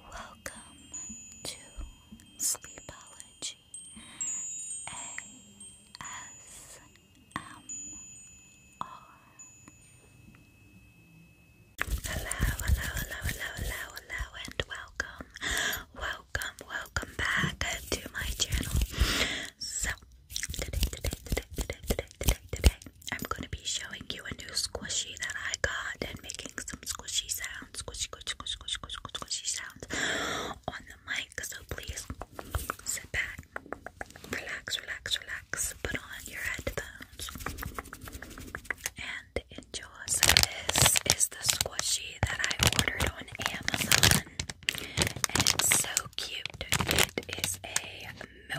Welcome to Sleepology ASMR. Hello, hello, hello, hello, hello, hello, and welcome, welcome, welcome back to my channel. So, today, today, today, today, today, today, today, I'm going to be showing you a new squishy that I got and making some squishy sounds, squishy, squishy, squishy, squishy, squishy, squishy sounds on the mic. So please sit back, relax, relax, relax, put on your headphones, and enjoy. So this is the squishy that I ordered on Amazon, and it's so cute. It is a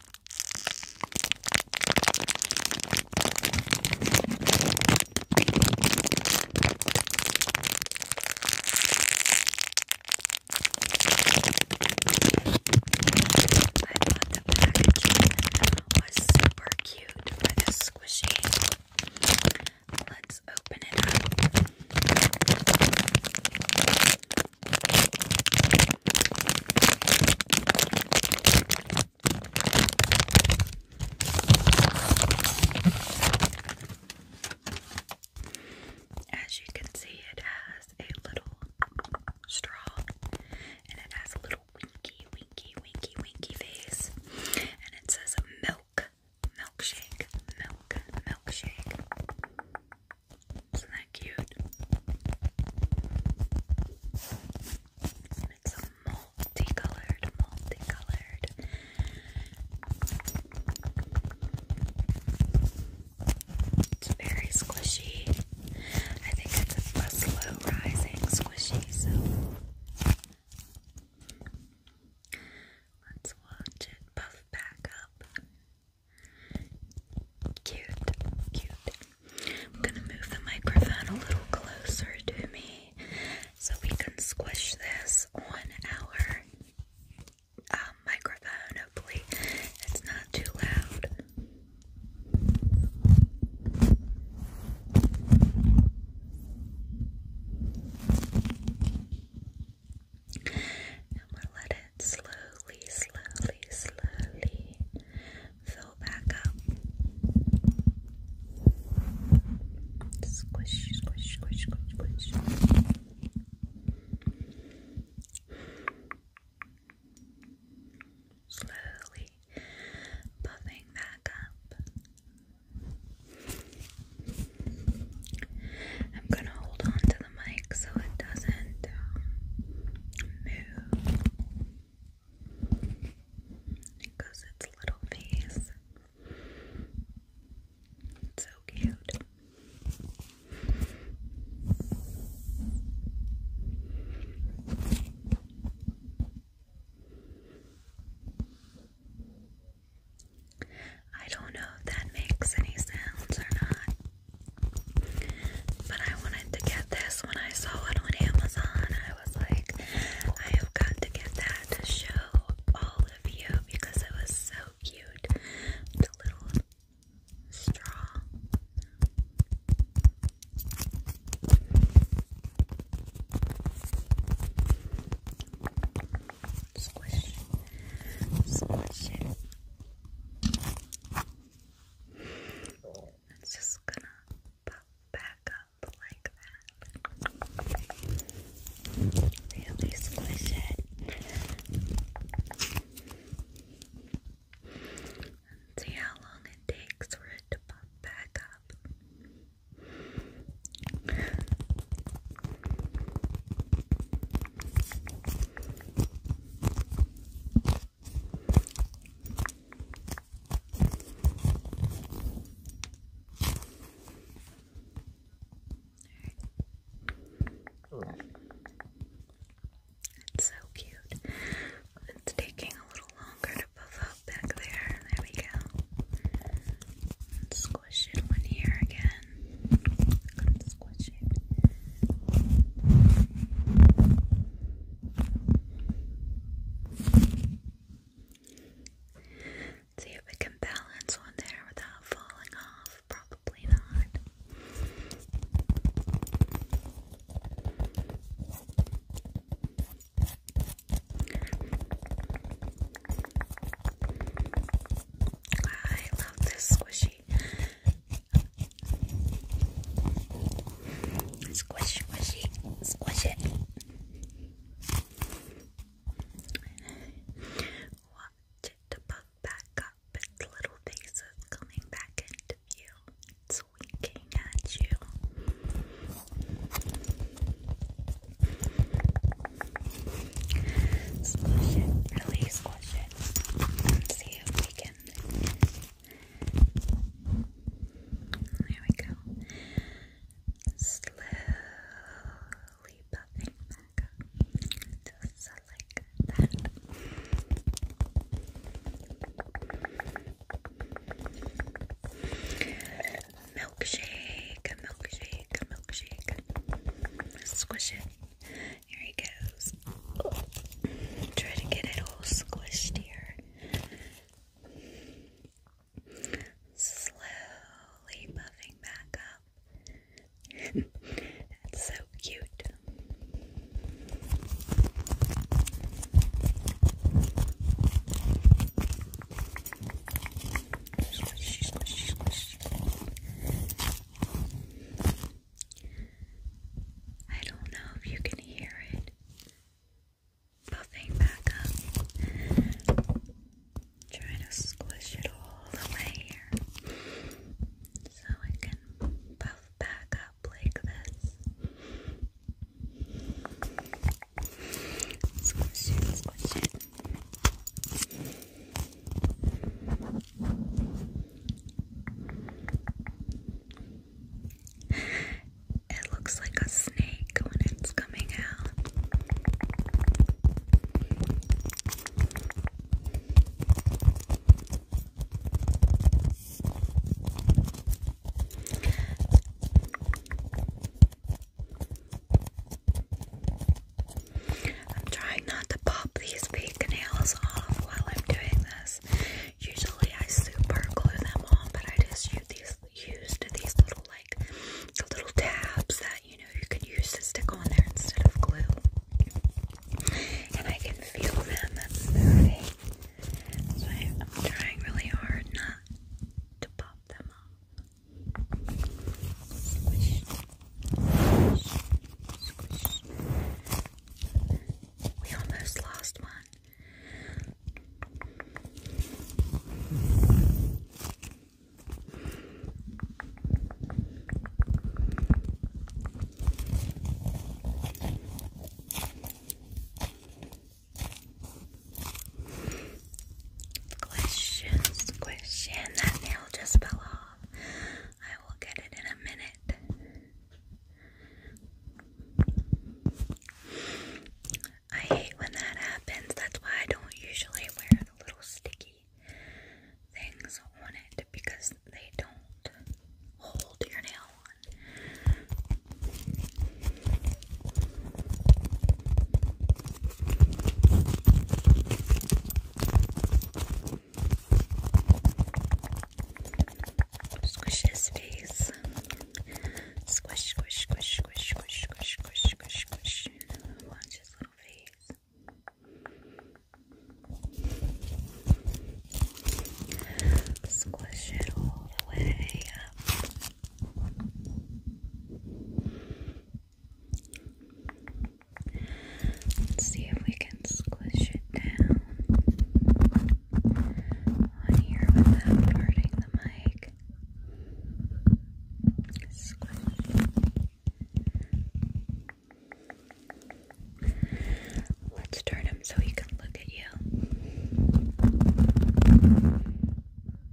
thought the packaging was super cute for this squishy. Let's open it up. As you can see, it has a little straw and it has a little winky, winky, winky, winky face. And it says milk, milkshake, milk, milkshake. Isn't that cute? it's a multicolored, multicolored. It's very squishy. I think it's a slow rising squishy, so let's watch it puff back up. Cute, cute. I'm gonna move the microphone a little closer to me so we can squish this on our um, microphone. Hopefully, it's not too loud. And we'll let slowly, slowly, slowly fill back up. Squish, squish, squish, squish, squish. Slowly puffing back up. I'm going to hold on to the mic so it doesn't um, move because its little face. so cute. I don't know if that makes any sounds or not. But I wanted to get this when I saw it on Amazon. I was like, I have got to get that to show all of you because it was so cute. The little straw. Squish. Squish it's just gonna pop back up like that. Really squish it. see how long it takes for it to pop back up. It's so cute. It's taking a little longer to puff up back there. There we go. Squish it one here again. See if we can balance on there without falling off. Probably not. I love this squishy Squish, squishy, squish it. Watch back up, little face coming back into view. It's winking at you. release there we go. Slowly buffing back up. Just like that. Milkshake, milkshake, milkshake. Squish it. Here he goes. Try to get it all squished here. Slowly puffing back up. That's so cute. Squishy, squishy, squishy. I don't know if you can hear it puffing back up. Try to squish it all the way here so it can puff back up like this. Squish it, squish it. It looks like a snake when it's coming out. I'm trying not to pop these fake nails off while I'm doing this. Usually I super glue them on, but I just use these used these little like little tabs that you know you can use to stick on there instead of glue. And I can feel them moving. So I'm trying really hard not to pop them off. We almost lost one. Question, question. That nail just fell off. I will get it in a minute. I hate when that happens. That's why I don't usually wear the little sticky things on it because they don't hold your nail on. Squish his face. Squish, squish, squish, squish, squish, squish, squish, squish, squish. Watch his little face. Squish it all the way up. Let's see if we can squish it down on here without parting the mic. Squish. Let's turn him so he can look at you.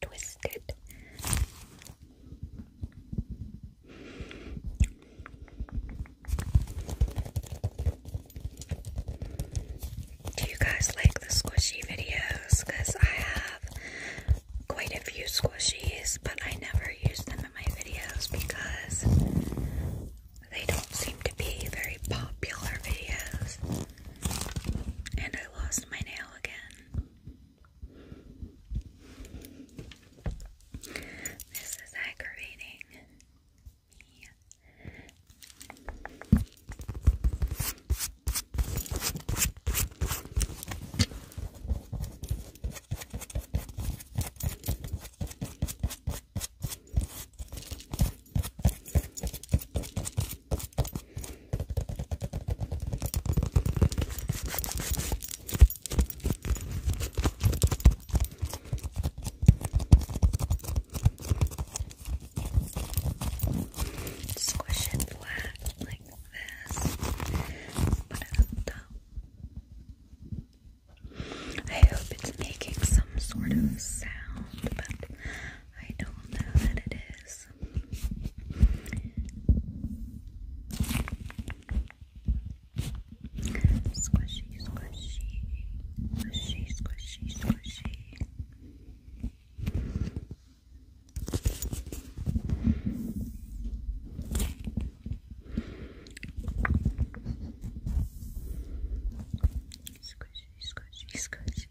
twisted. Do you guys like the squishy videos? Because I have quite a few squishies, but I never use them in my videos because they don't seem to be very popular videos. And I lost my nail again. This is aggravating me. Squish it flat like this. I hope it's making some sort of sound, I don't know that it is. Squishy, squishy, squishy, squishy, squishy. Squish, scratchy, scratchy.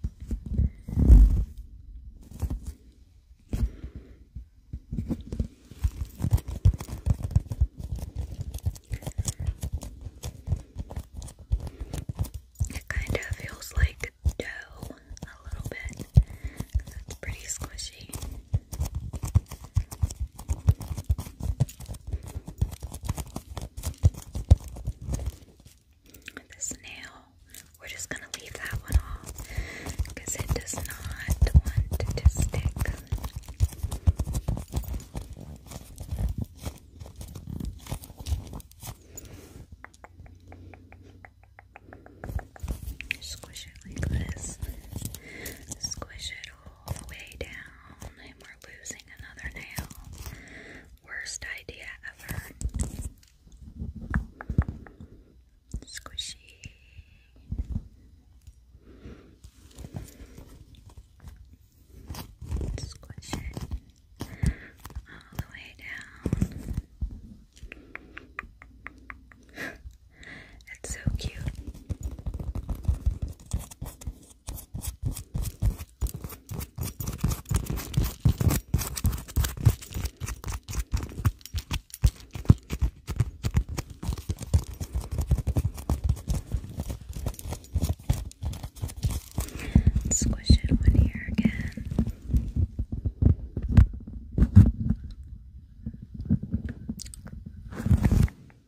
It kind of feels like dough a little bit. That's pretty squishy this nail. We're just gonna leave that one off because it does not want to stick. Squish it like this. Squish it all the way down down and we're losing another nail. Worst idea ever. Squishy. Squish it all the way down. it's so cute. And squish it one here again.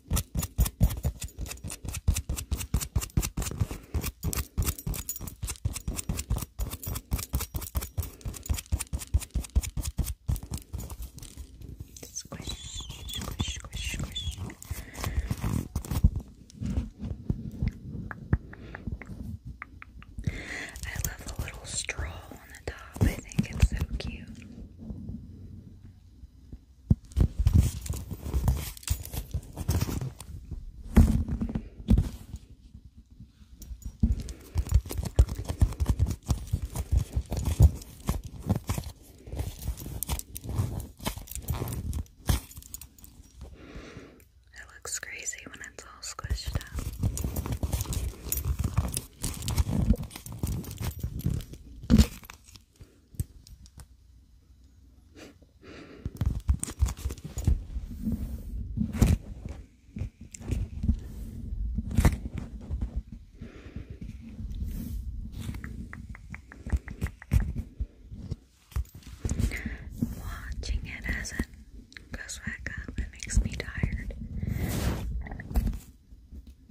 Squish, squish, squish, squish. I love the little straw on the top. I think it's so cute. It looks crazy when it's all squished up. Watching it as it goes back up, it makes me tired.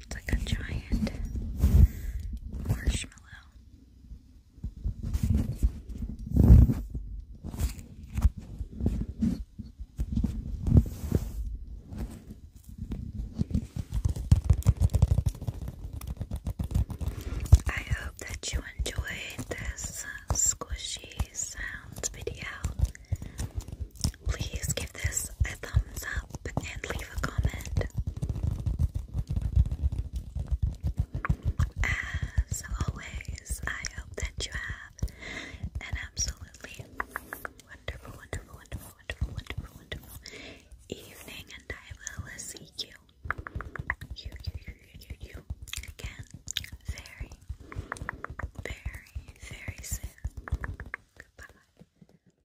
It's like a giant marshmallow. I hope that you enjoyed this squishy sounds video. Please give this a thumbs up and leave as always, I hope that you have an absolutely wonderful, wonderful, wonderful, wonderful, wonderful, wonderful evening, and I will see you again very, very, very soon. Goodbye.